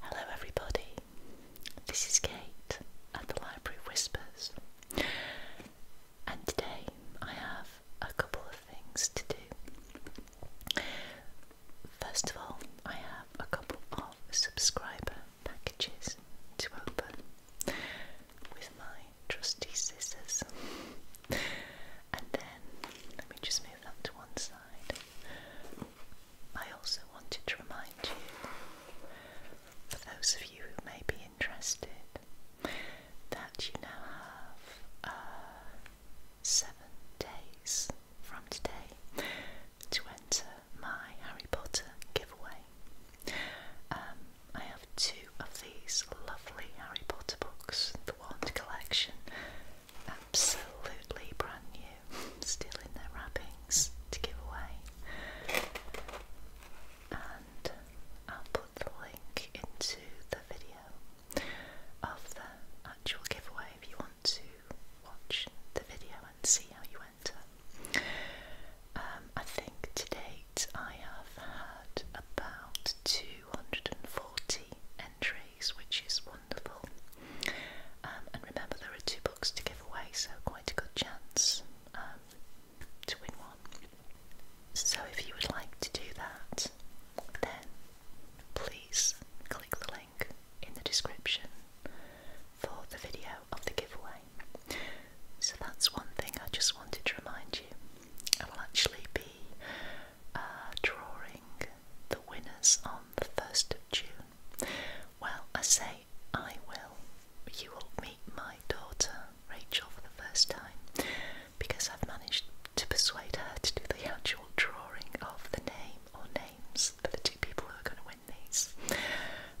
Hello, everybody. This is Kate at the Library Whispers, and today I have a couple of things to do. First of all, I have a couple of subscriber packages to open with my trusty scissors, and then let me just move to one side. I also wanted to remind you, for those of you who may be interested, that you now have uh, seven days from today to enter my Harry Potter giveaway. Um, I have two of these lovely Harry Potter books, the wand collection absolutely brand new, still in their wrappings to give away. And I'll put the link into the video of the actual giveaway if you want to watch the video and see how you enter. Um, I think to date I have had about 240 entries, which is wonderful. Um, and remember, there are two books to give away, so quite a good chance um, to win one. So, if you would like to do that, then please click the link in the description for the video of the giveaway. So, that's one thing I just wanted to remind you. I will actually be uh, drawing the winners on the 1st of June. Well, I say I will. You will meet my daughter Rachel for the first time because I've managed to persuade her to do the actual drawing of the name or names for the two people who are going to win these,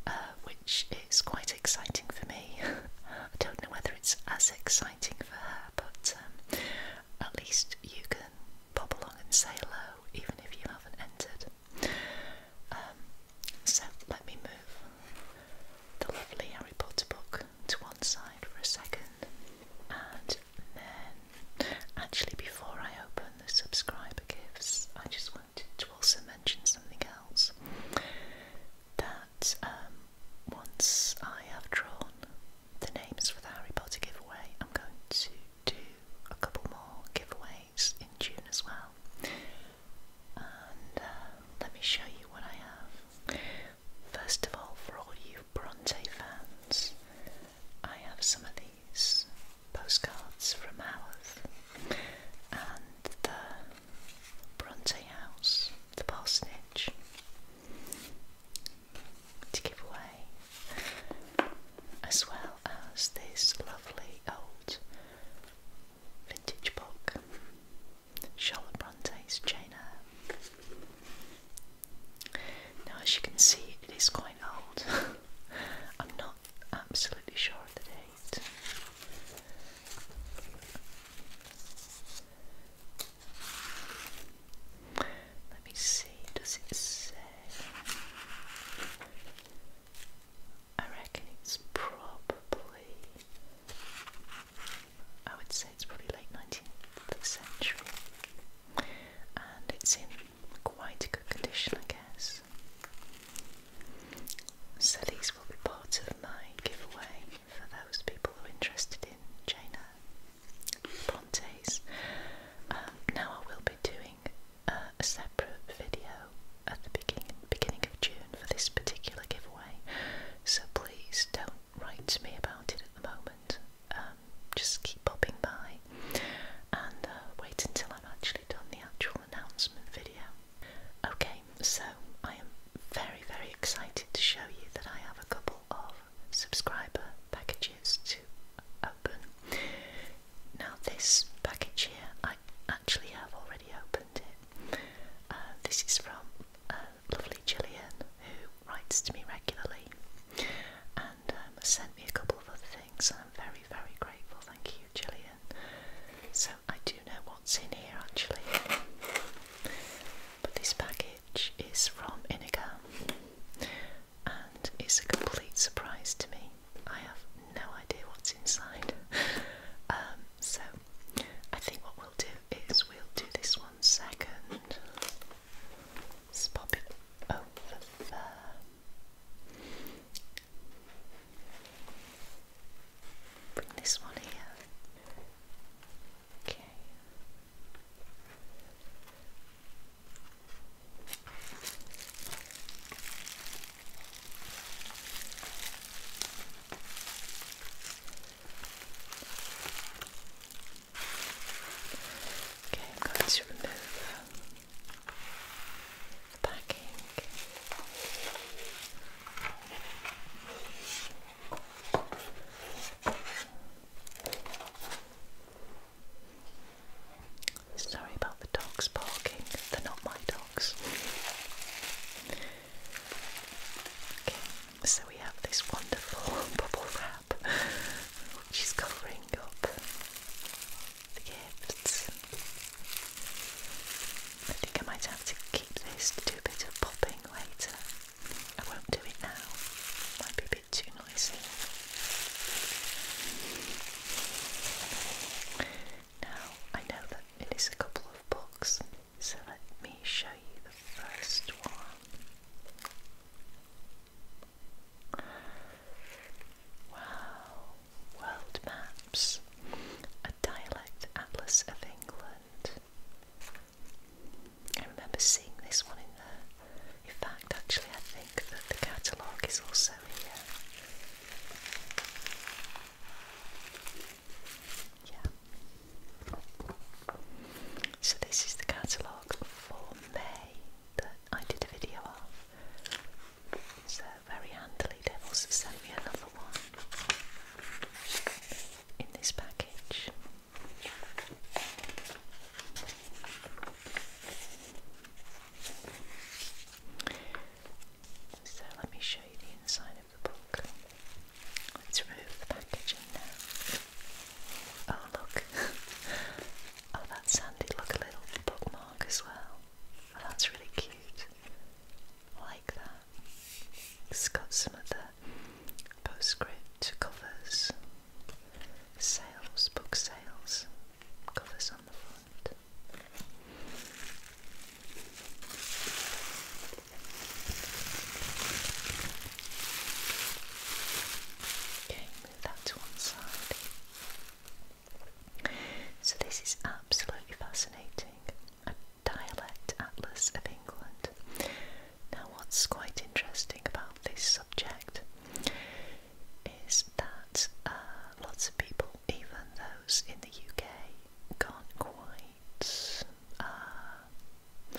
uh, which is quite exciting for me. I don't know whether it's as exciting for her, but um, at least you can pop along and say hello, even if you haven't entered. Um, so let me move the lovely Harry Potter book to one side for a second, and then actually, before I open the subscriber gifts, I just wanted to also mention something else that um, once I have drawn the names for the Harry Potter giveaway. I'm going to do a couple more giveaways in June as well. And uh, let me show you what I have. First of all, for all you Bronte fans, I have some of these postcards from Howard and the Bronte House, the parsonage to give away, as well as this lovely old vintage book, Charlotte Bronte's Jane Eyre. Now, as you can see, it is quite old. I'm not absolutely sure of the date. Let me see, does it say? I reckon it's probably, I would say it's probably late 19th century. And it's in quite a good condition, I guess. So these will be part of my giveaway for those people who are interested in Jane Pontes. Um, now I will be doing uh, a separate video at the beginning, beginning of June for this particular giveaway, so please don't write to me about it at the moment. Um, just keep popping by and uh, wait until I've actually done the actual announcement video. Okay, so I am very, very excited to show you that I have a couple of subscriber packages to open. Now this package here, I actually have already opened it. Uh, this is from uh, lovely Jillian, who writes to me regularly and um, sent me a couple of other things and I'm very very grateful, thank you Jillian. So I do know what's in here actually. But this package is from Inigo and it's a complete surprise to me. I have no idea what's inside. Um, so I think what we'll do is we'll do this one second. Let's pop it over Bring this one here. Okay. Okay, I'm going to remove the packing. Sorry about the dogs barking, they're not my dogs. Okay, so we have this wonderful bubble wrap which is covering up the gifts. I think I might have to keep this to do a bit of popping later. I won't do it now, might be too noisy. Now, I know that it is a couple of books, so let me show you the first one. Wow, World Maps, a dialect atlas of England. I remember seeing this one in there. In fact, actually, I think that the catalogue is also here. Yeah. So, this is the catalogue for May that I did a video of. So, very handily, they also sent me another one in this package. So let me show you the inside of the book. Let's remove the packaging now. Oh, look. oh, that's sandy Look, a little bookmark as well. Oh, that's really cute. I like that. It's got some of the Postscript covers, sales, book sales, covers on the front. Okay, move that to one side. So, this is absolutely fascinating a dialect atlas of England now, what's quite interesting about this subject is that uh, lots of people, even those in the UK, can't quite uh,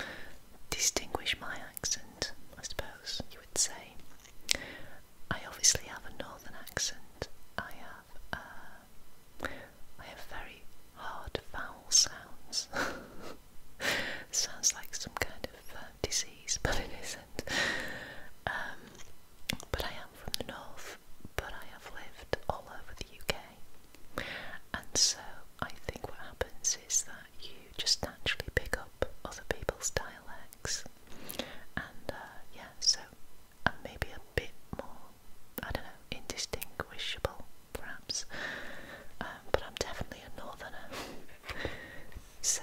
distinguish my accent, I suppose you would say. I obviously have a northern accent. I have uh, I have very hard vowel sounds. Sounds like some kind of uh, disease, but it isn't. Um, but I am from the north, but I have lived all over the UK. And so I think what happens is that you just naturally pick up other people's dialects. And uh, yeah, so and maybe a bit more, I don't know, indistinguishable perhaps. Uh, but I'm definitely a northerner. so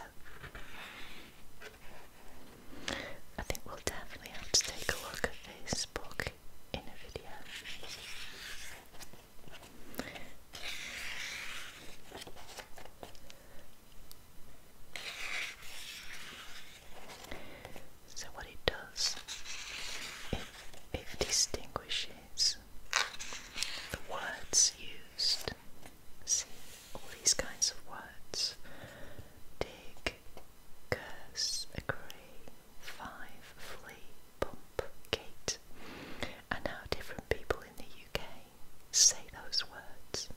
I think we'll definitely have to take a look at this book in a video. So what it does, it, it distinguishes the words used. See all these kinds of words. Dig, curse, agree, five, flee, pump, gate. And how different people in the UK say those words.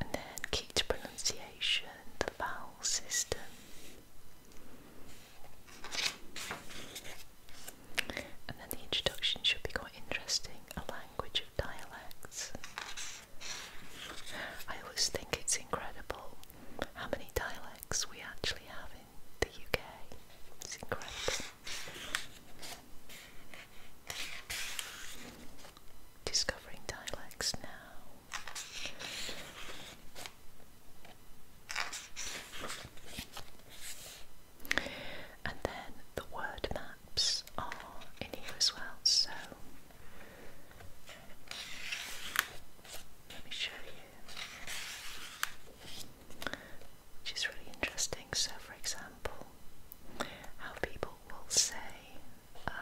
And then key pronunciation, the And then the introduction should be quite interesting a language of dialects. I always think it's incredible how many dialects we actually have in the UK. It's incredible discovering dialects now. And then the word maps are in here as well, so let me show you, which is really interesting. So, for example, how people will say, uh,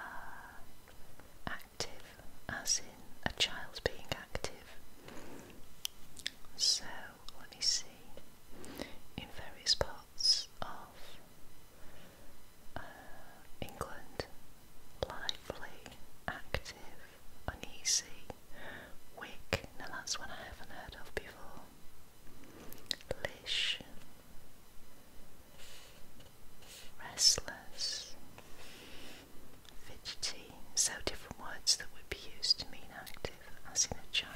active, as in a child being active. So let me see. In various parts of uh, England, lively, active, uneasy, wick. The last one I haven't heard of before. Lish, restless, fidgety, so different words that would be used to mean active as in a child.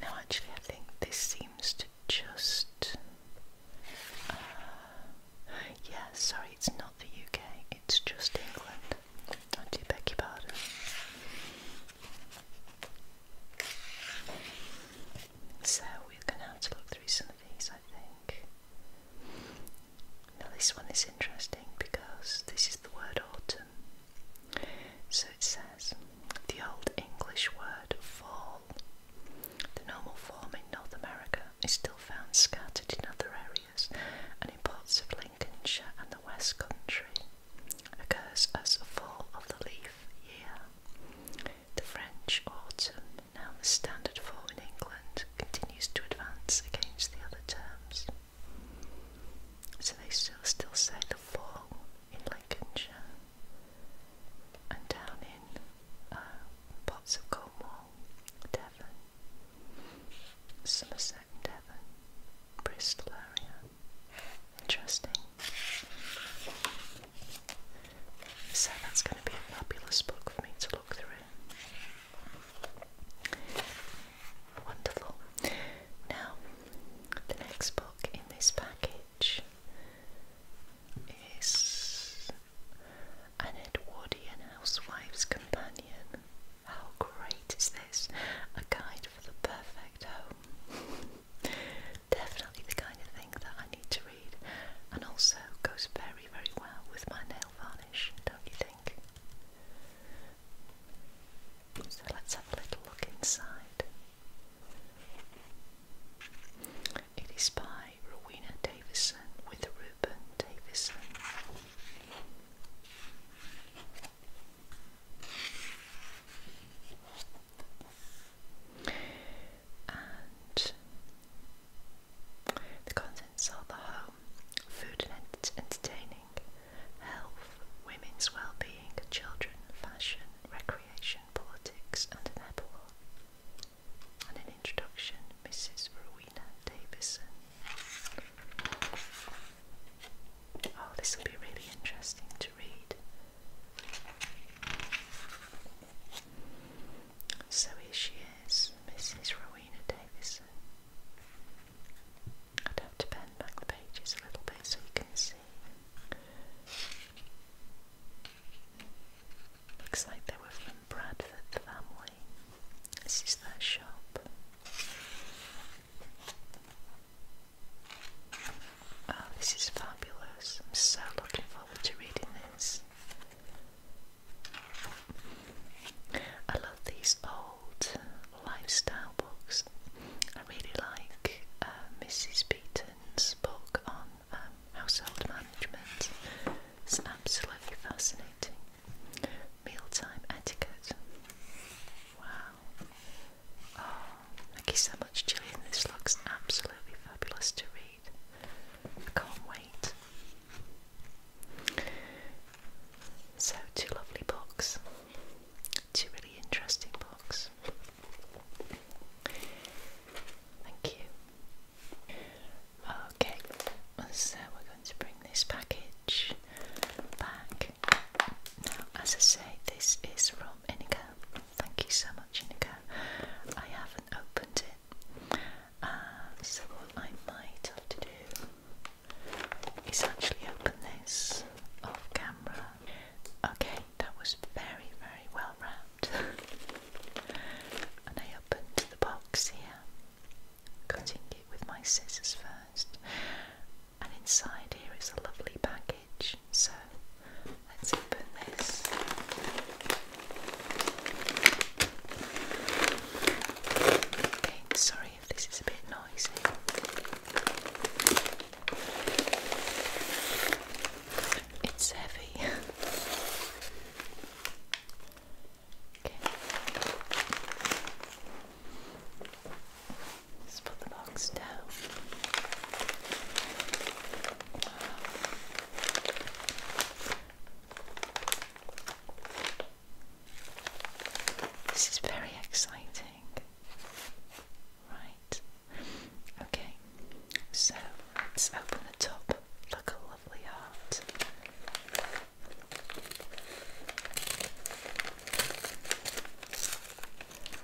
Now, actually, I think this seems to just. Uh, sorry, it's not the UK, it's just England. I do beg your pardon. So we're going to have to look through some of these, I think. Now this one is interesting because this is the word autumn. So it says the old English word fall. The normal form in North America is still found scattered in other areas and in parts of Lincolnshire and the West Country. Occurs as fall of the leaves leaf The French autumn, now the standard fall in England, continues to advance against the other terms. So they still still say the fall in Lincolnshire and down in uh, parts of Cornwall, Devon, Somerset Devon, Bristol area. Interesting. So that's going to be a fabulous book for me to look through. Wonderful. Now, the next book in this package is An Edwardian Housewife's Companion. How great is this? A guide for the perfect home. Definitely the kind of thing that I need to read, and also goes very, very well with my nail varnish, don't you think? So let's have a little look inside. It is by Rowena Davison with Reuben Davison and the contents are the home, food and entertaining, health, women's well-being, children, fashion, recreation, politics, and an epilogue. And an introduction, Mrs. Rowena Davison. Oh, this will be really interesting so here she is, Mrs. Rowena Davison. I'd have to bend back the pages a little bit so you can see. Looks like they were from Bradford family. This is their shop. Oh, this is fabulous. I'm so looking forward to reading this. I love these old lifestyle books. I really like uh, Mrs. Beaton's book on um, household management. It's absolutely fascinating. Mealtime etiquette. Wow. thank you so much, Gillian. This looks absolutely fabulous to read. I can't wait. So, two lovely books, two really interesting books. Thank you. Okay, so we're going to bring this package back. Now, as I say, this is from from Thank you so much, Inigo. I haven't opened it, um, so what I might have to do is actually open this off camera. Okay, that was very, very well wrapped. and I opened the box here, cutting it with my scissors first. And inside here is a lovely package. So let's open this. sorry if this is a bit noisy. It's heavy. okay. Just put the box down. This is very exciting. Right. Okay. So let's open the top. Look a lovely heart.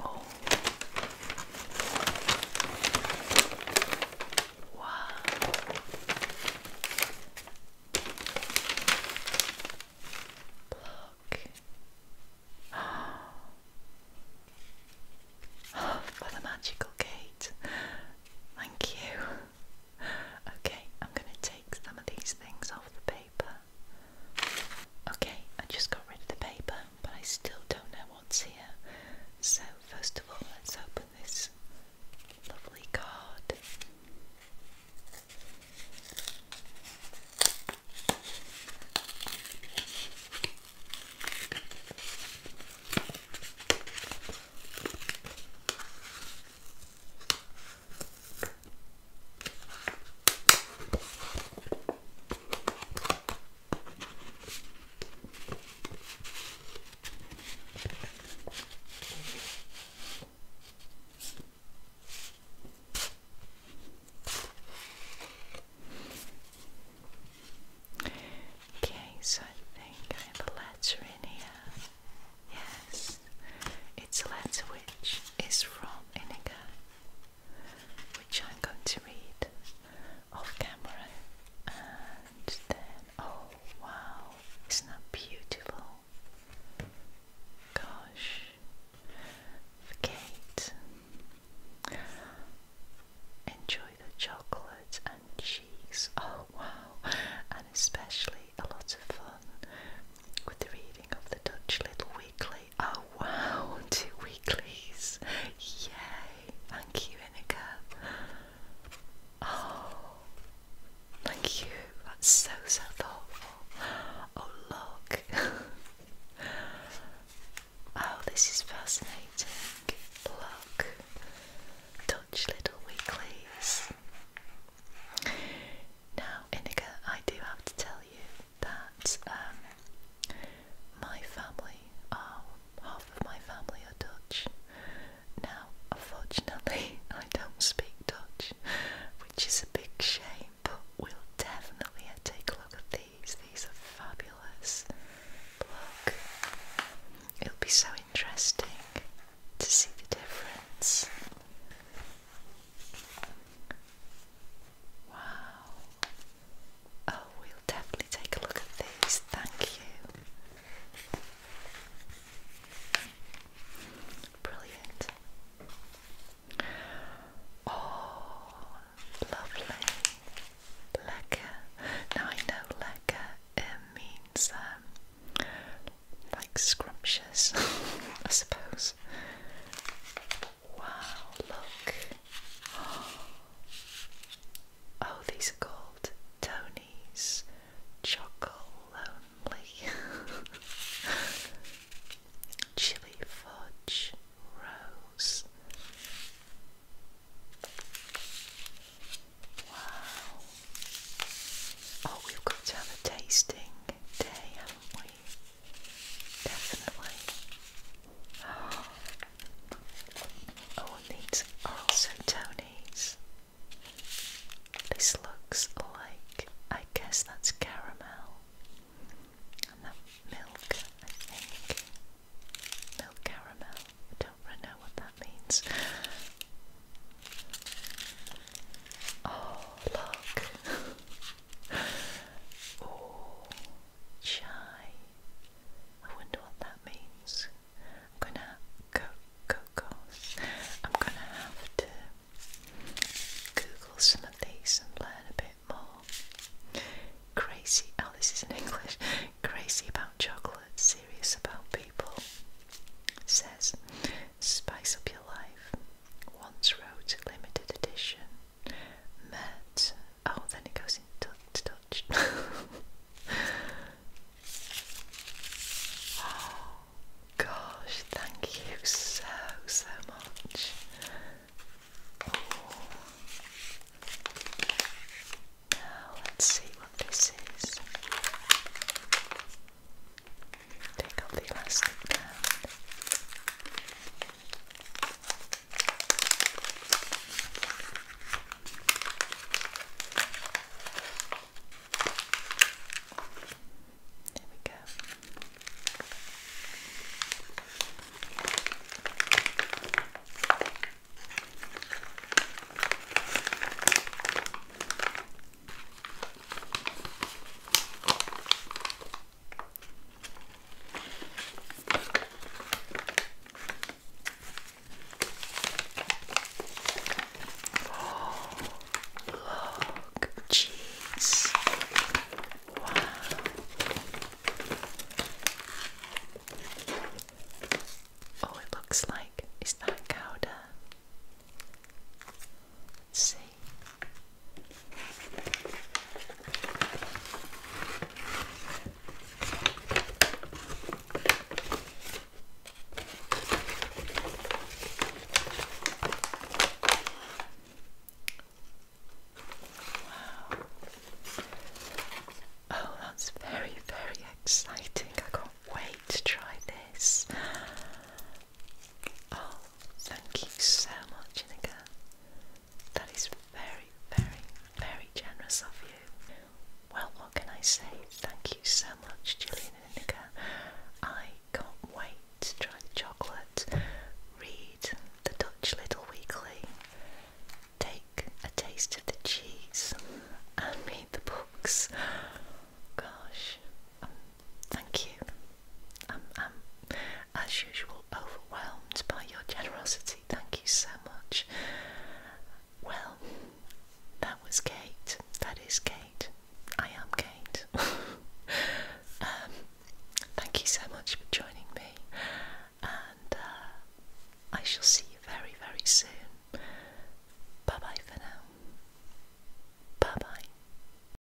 Oh. Wow. Look. Oh, for the magical gate. Thank you. Okay, I'm going to take some of these things off the page. Okay, I just got rid of the paper, but I still don't know what's here. So, first of all, let's open this lovely card. Okay, so I think I have a letter in here. Yes, it's a letter which is from Inigo which I'm going to read off camera and then oh wow, isn't beautiful? Gosh, for Kate, enjoy the chocolate and cheese. Oh wow, and especially a lot of fun with the reading of the Dutch Little Weekly. Oh wow, two weeklies! Yay! Thank you, Inika. Oh, thank you. That's so so thoughtful. Oh look. oh, this is fascinating. Look, Dutch Little Weeklies. Now, Inika, I do have to tell you that um, my family, are, um, half of my family are Dutch. Now, unfortunately, I don't speak Dutch, which is a big shame, but we'll definitely take a look at these. These are fabulous. it'll be so interesting to see the difference. Wow. Oh, we'll definitely take a look at these. Thank you. Brilliant. Oh, lovely. Lekker. Now I know lekker it uh, means um, like scrumptious, I suppose. Wow, look. Oh, these are called Tony's Choco only, Chili Fudge Rose. Wow. Oh, we've got to have a tasting day, haven't we? Definitely. Oh, oh these are also Tony's. This looks like, I guess that's caramel. And that milk, I think. Milk caramel. don't know what that means. Oh, look. Oh, chai. I wonder what that means. I'm gonna go cocoa. I'm gonna have to Google some of these and learn a bit more. Crazy. Oh, this is not English. Crazy about chocolate, serious about people. Says, spice up your life. Once wrote limited edition met. Oh, then it goes into Dutch. touch. oh gosh, thank you so so much. Now let's see what this is. Take off the elastic band. There we go. Oh, look, cheese. Oh, it looks like it's that gouda? let see. Wow. Oh, that's very, very exciting. I can't wait to try this. Oh, thank you so much, Inika. That is very, very, very generous of you. Well, what can I say? Thank you so much, Julian and Inika. I can't wait to try the chocolate, read the Dutch Little Weekly, take a taste of the cheese, and read the books. Gosh, thank you. I'm, as usual, overwhelmed by your generosity. Thank you so much. Well, that was Kate. That is Kate. I am Kate. Um, thank you so much for joining me, and uh, I shall see you very, very soon. Bye bye for now. Bye bye.